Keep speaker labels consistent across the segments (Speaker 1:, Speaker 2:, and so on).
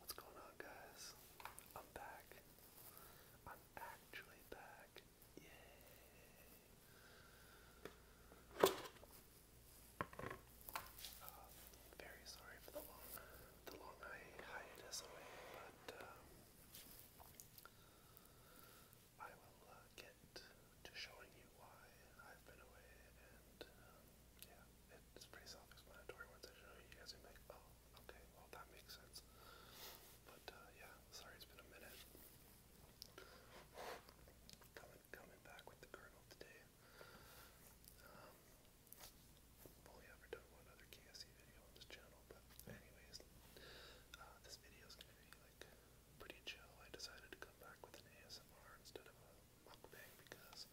Speaker 1: What's going on, guys? I'm back. I'm actually back. Yay! Um, very sorry for the long, the long hiatus away, but um, I will uh, get to showing you why I've been away, and um, yeah, it's pretty self-explanatory once I show you. You guys are like, oh, okay, well that makes sense. But uh, yeah, sorry it's been a minute. Coming, coming back with the kernel today. Um, only ever done one other KSC video on this channel, but anyways, uh, this video is gonna be like pretty chill. I decided to come back with an ASMR instead of a mukbang because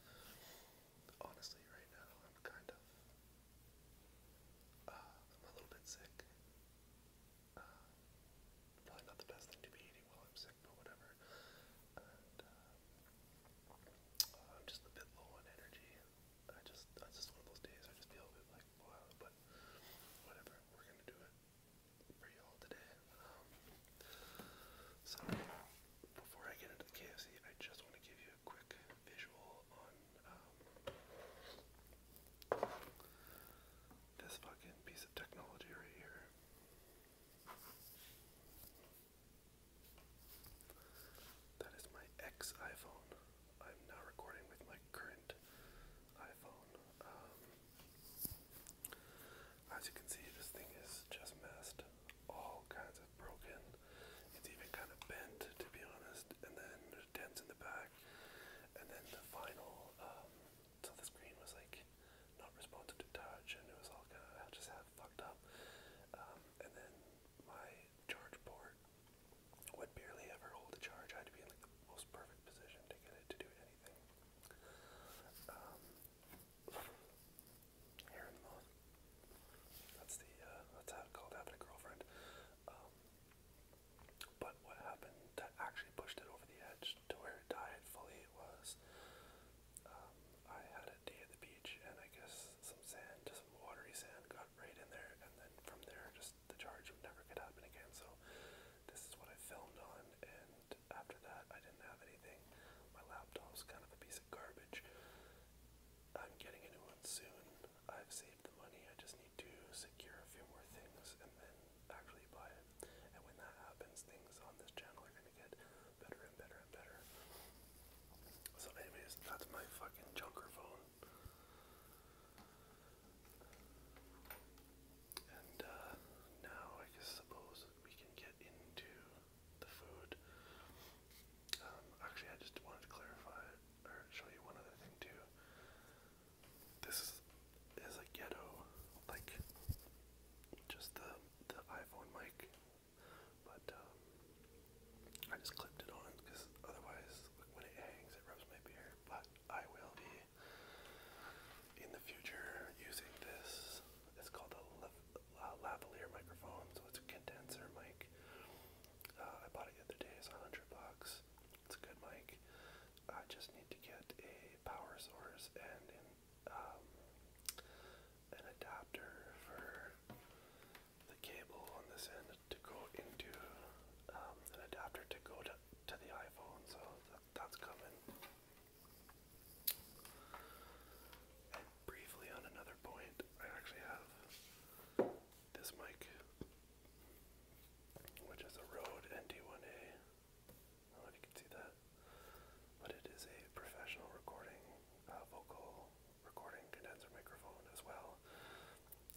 Speaker 1: honestly, right now I'm kind of uh, I'm a little bit sick. Uh, probably not the best thing to be eating while I'm sick, but whatever. Uh, I'm just a bit low on energy. I just, that's just one of those days. I just feel a bit like wow, but whatever. We're gonna do it. Um, so, before I get into the KFC, I just want to give you a quick visual on um, this fucking piece of technology right here. That is my ex iPhone. I'm now recording with my current iPhone. Um, as you can see, this thing is just messed, all kinds of broken. It's even kind of bent, to be honest. And then there's dents in the back. And then the final, um, so the screen was like not responsive to touch, and it was all kind of just had fucked up. Um, and then my charge port would barely ever hold a charge. I had to be in like the most perfect position to get it to do anything. Um, hair in the mouth. That's the uh, that's how it's called having a girlfriend. Um, but what happened that actually pushed it over the edge to where it died fully was um, I had a day at the beach and I guess some sand, just some watery sand, got right in there, and then from there just the charge would never get happen again. So this is what I filmed on, and after that, I didn't have anything. My laptop's kind of a piece of garbage. I'm getting a new one soon. I've saved the money. I just need to secure a few more things and then actually buy it. And when that happens, things on this channel are gonna get better and better and better. So, anyways, that's my fucking junker phone. And uh, now I guess suppose we can get into the food. Um, actually, I just wanted to clarify or show you one other thing too. This is a ghetto, like just the the iPhone mic, but um, I just clipped it on because otherwise when it hangs it rubs my beard. But I will be in the future using this. It's called a lavalier microphone, so it's a condenser mic. Uh, I bought it the other day. It's 100 bucks. It's a good mic. I just need to get a power source and an, um, adapter for the cable on this end to go into um, an adapter to go to to the iPhone, so that, that's coming. And briefly on another point, I actually have this mic, which is a Rode ND1A. I don't know if you can see that, but it is a professional recording, uh, vocal recording condenser microphone as well.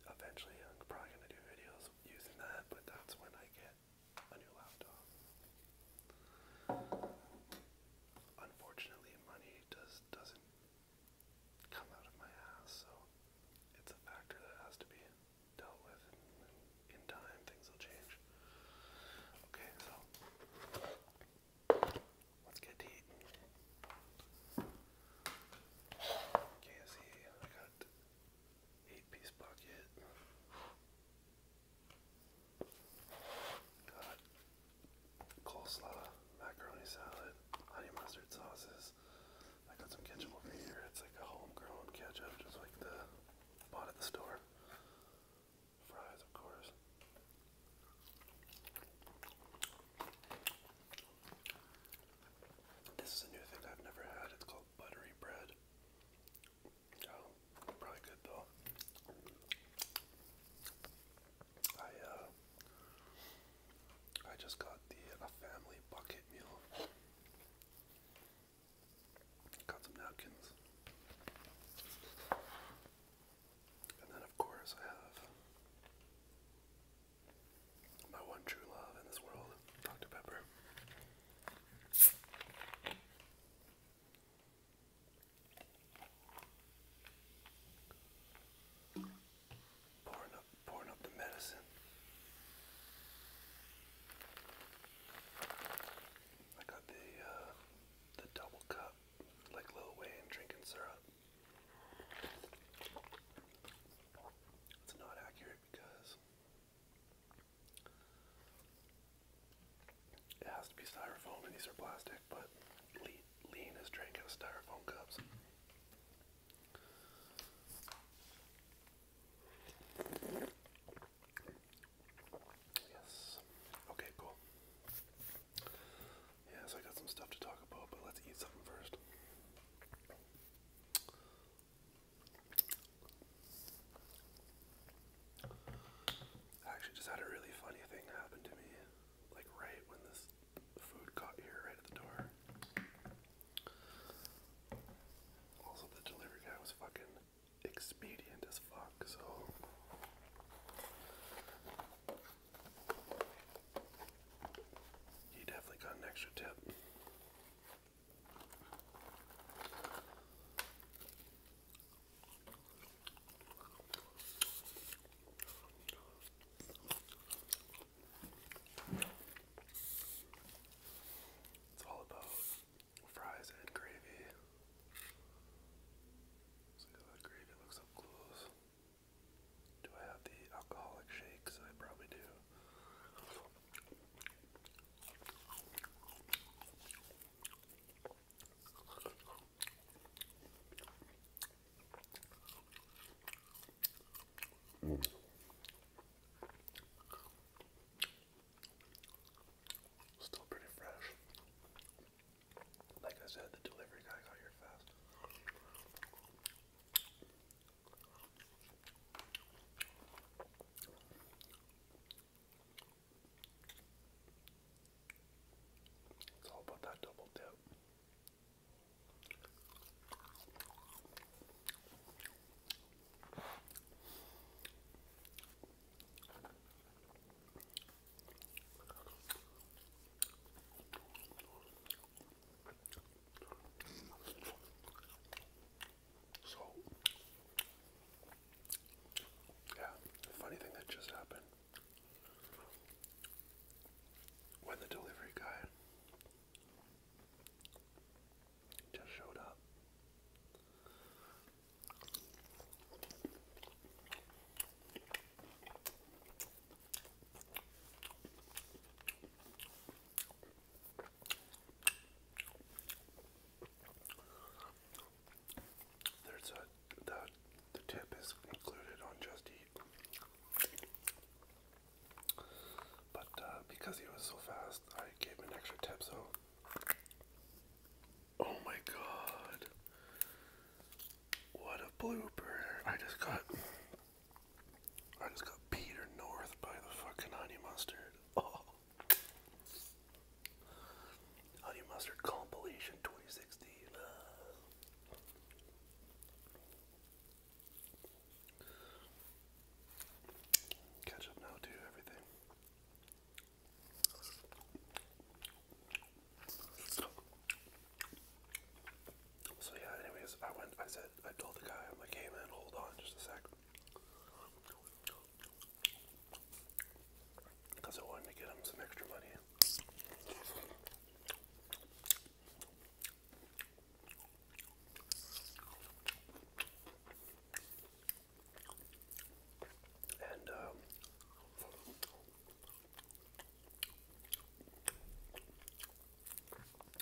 Speaker 1: Eventually, I'm probably going to do videos using that, but that's when I get a new laptop. Unfortunately, money does doesn't come out of my ass, so it's a factor that has to be dealt with, in time things will change. Okay, so let's get to eating. KFC, I got eight piece bucket. Got coleslaw, macaroni salad, honey mustard sauces. I got some ketchup over here. It's like a homegrown ketchup, just like the bought at the store. Fries, of course. This is a new thing I've never had. It's called buttery bread. Oh, probably good though. I uh I just got the a family bucket meal. Got some napkins. And then of course I have my one true love in this world, Dr. Pepper. Pouring up, pouring up the medicine. I got the uh, the double cup, like Lil Wayne drinking syrup. It's not accurate because it has to be styrofoam and these are plastic, but Lee, Lee and his out of styrofoam cups. Yes. Okay, cool. Yeah, I got some stuff to talk about, but let's eat something first. I actually just had a really funny thing happen to me, like right when this food got here, right at the door. Also, the delivery guy was fucking expedient as fuck, so. He definitely got an extra tip. It's all about fries and gravy. Let's that gravy, looks up close. Do I have the alcoholic shakes? I probably do. Still pretty fresh. Like I said, the delivery guy got here fast. It's all about that double dip. So, yeah, funny thing that just happened when the delivery guy just showed up. There's a the the tip is included on Just Eat. But uh, because he was so fast, I gave him an extra tip. So, oh my god, what a blooper! I just got I just got Peter North by the fucking honey mustard. Oh. Honey mustard compilation 2016. Uh. now too, everything. So yeah, anyways, I went, I said, I told the guy, I'm like, hey man, hold on just a sec. Because I wanted to get him some extra money. And, um,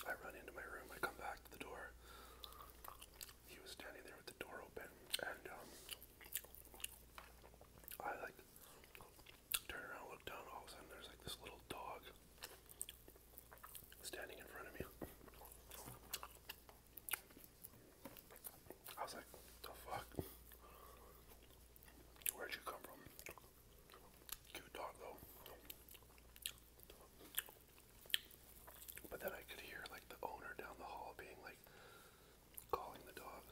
Speaker 1: I run into my room, I come back to the door. He was standing there with the door open, and um, I like turn around, look down. All of a sudden, there's like this little dog standing in front of me. I was like, "The fuck? Where'd you come from?" Cute dog though. But then I could hear like the owner down the hall being like calling the dog.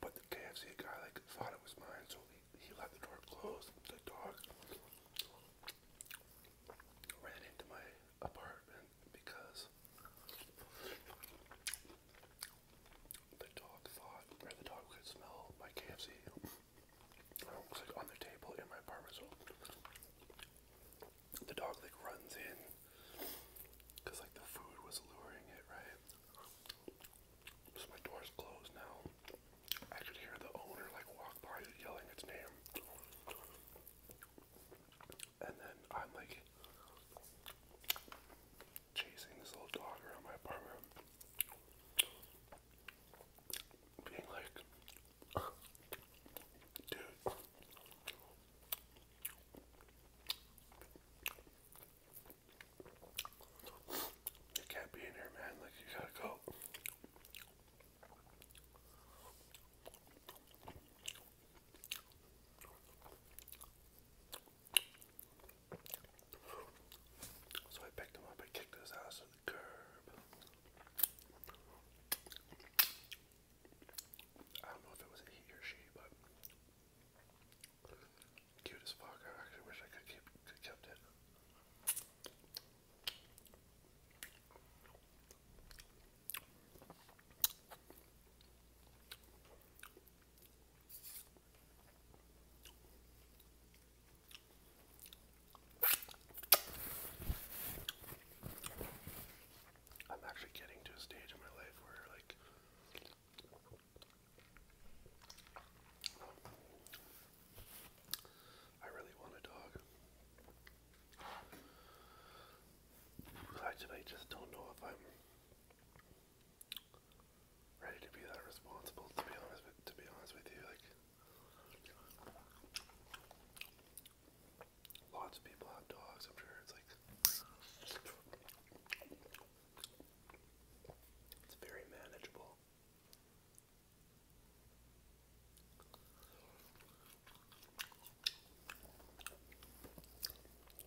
Speaker 1: But the KFC guy like thought it was mine, so he, he let the door close. The dog ran into my apartment because the dog thought, or the dog could smell my KFC like on the table in my apartment. So the dog like runs in because like the food was luring it, right? So my door's closed now. I could hear the owner like walk by yelling its name. And then I'm like chasing this little dog around my apartment, being like, dude. You can't be in here, man. Like, you gotta go. So I picked him up, I kicked his ass to the curb. I don't know if it was he or she, but cute as I actually wish I could keep could kept it. I'm actually getting to a stage in my life where, like, I really want a dog. Actually, I just don't know if I'm ready to be that responsible. To be honest, with, to be honest with you, like lots of people have dogs. I'm sure it's like it's very manageable.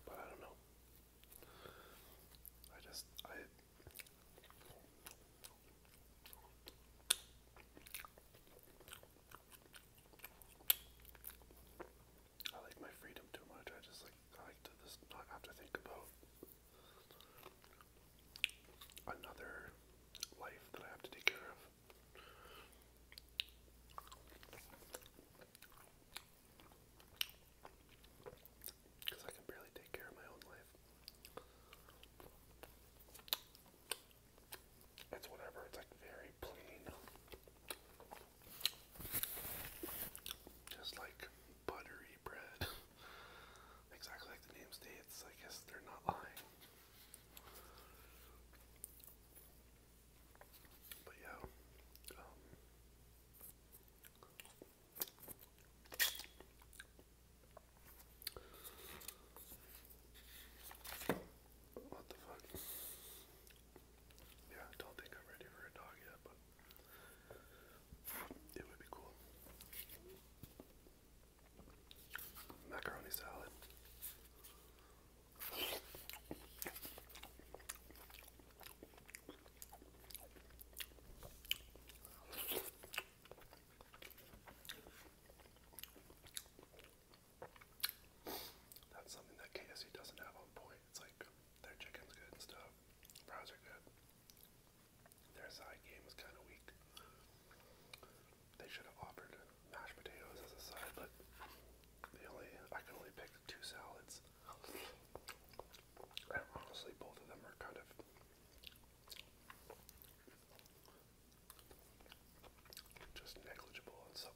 Speaker 1: But I don't know. I just I I like my freedom too much. I just like I like to just not have to think about another life that I have to take care of. Because I can barely take care of my own life. It's whatever, it's like very plain. Just like buttery bread. exactly like the name states, I guess they're not lying. But yeah, um, what the fuck? Yeah, I don't think I'm ready for a dog yet, but it would be cool. Macaroni salad. That's something that KSC doesn't have on point. It's like their chicken's good and stuff, fries are good. Their side game is kind of weak. They should have offered mashed potatoes as a side, but they only I can only pick two salads. And honestly, both of them are kind of just negligible and